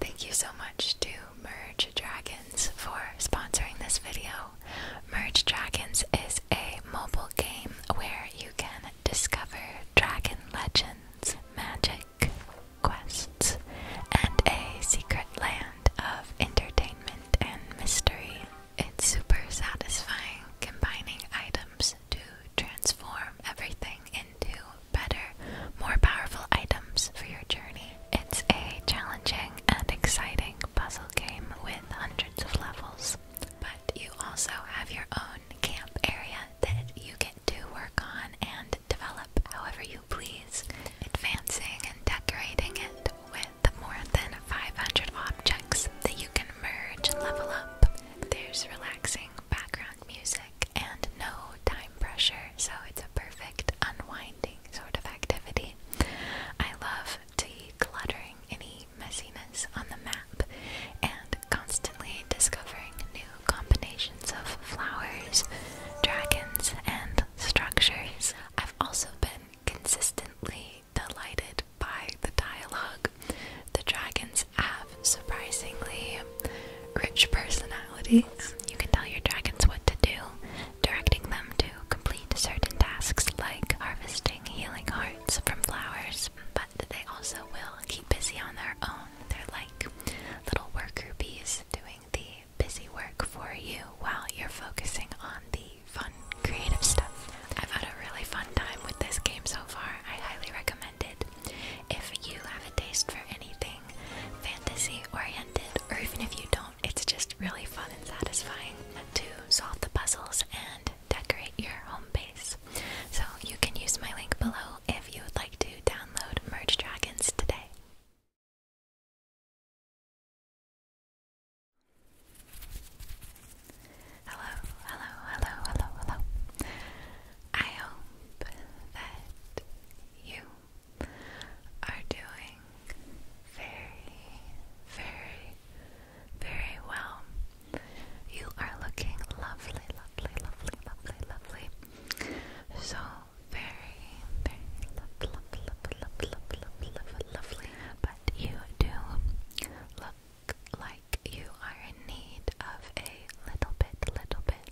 Thank you so much to Merge Dragons for sponsoring this video. Merge Dragons is a mobile game where you can discover dragon legends, magic, quests, and a secret land of entertainment and mystery. It's super satisfying combining items to transform everything into better, more powerful items for your journey. It's a challenging and exciting puzzle game with hundreds of levels, but you also have your own camp area that you get to work on and develop however you please, advancing and decorating it with more than 500 objects that you can merge and level up. There's relaxing background music and no time pressure, so it's a perfect unwinding sort of activity. I love decluttering any messiness on the map and constantly discovering new combinations of flowers, dragons, and structures. I've also been consistently delighted by the dialogue. The dragons have surprisingly rich personalities. You can tell your dragons what to do, directing them to complete certain tasks like harvesting healing hearts from flowers, but they also will keep busy on their own. They're like little worker bees doing the busy work for you while you're focusing on the fun, creative stuff. I've had a really fun time with this game so far. I highly recommend if you have a taste for anything fantasy oriented, or even if you don't, it's just really fun and satisfying to solve the puzzles and decorate your home base. So you can use my link below if you would like to download Merge Dragons today. Hello, hello, hello, hello, hello. I hope that you are doing very, very, very well. You are looking lovely, lovely, lovely, lovely, lovely. So very, very lovely, lovely, lovely, lovely, lovely, lovely, lovely. But you do look like you are in need of a little bit, little bit,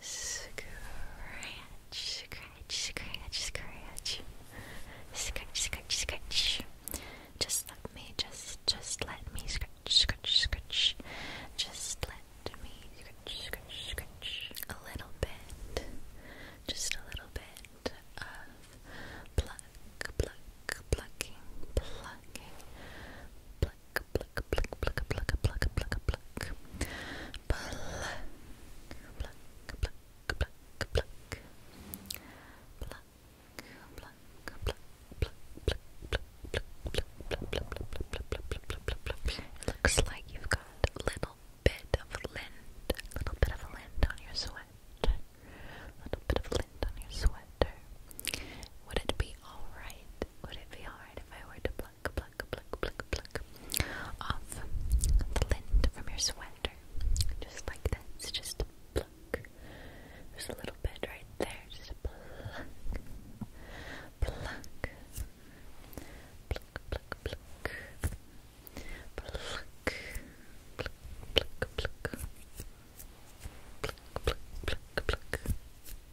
Scratch, scratch, scratch, scratch. Scratch, scratch, scratch. Just let me, just, just let me scratch, scratch, scratch. Just let me scratch, scratch, scratch. A little bit, just a little bit of pluck, pluck, plucking, plucking. Pluck, pluck, pluck, pluck, pluck, pluck, pluck, pluck, pluck, pluck, pluck, pluck, pluck, pluck, pluck. It looks like you've got a little bit of lint, a little bit of lint on your sweater, a little bit of lint on your sweater. Would it be alright? Would it be alright if I were to pluck, pluck, pluck, pluck, pluck, pluck off the lint from your sweater. Just like that. It's just pluck. There's a little bit right there. Just pluck. Pluck. Pluck, pluck, pluck. Pluck. Pluck, pluck, pluck. Pluck, pluck, pluck, pluck.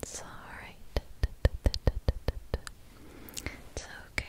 It's alright. It's okay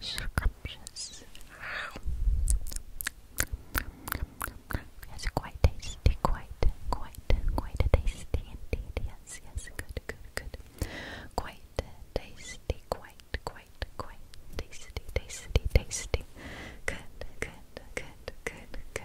scrumptious. Yes, quite tasty, quite, quite, quite tasty indeed. Yes, yes, good, good, good. Quite tasty, quite, quite, quite tasty, tasty, tasty. Good, good, good, good, good.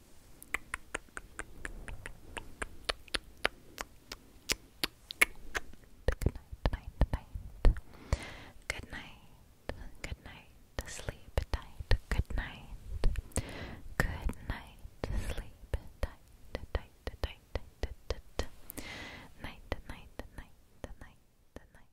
Good night, night, night. Good night, good night, sleep tight, good night. Good night, sleep tight, tight, tight, tight, tight, tight. Night, night, night, night, night, night, night, night, good night.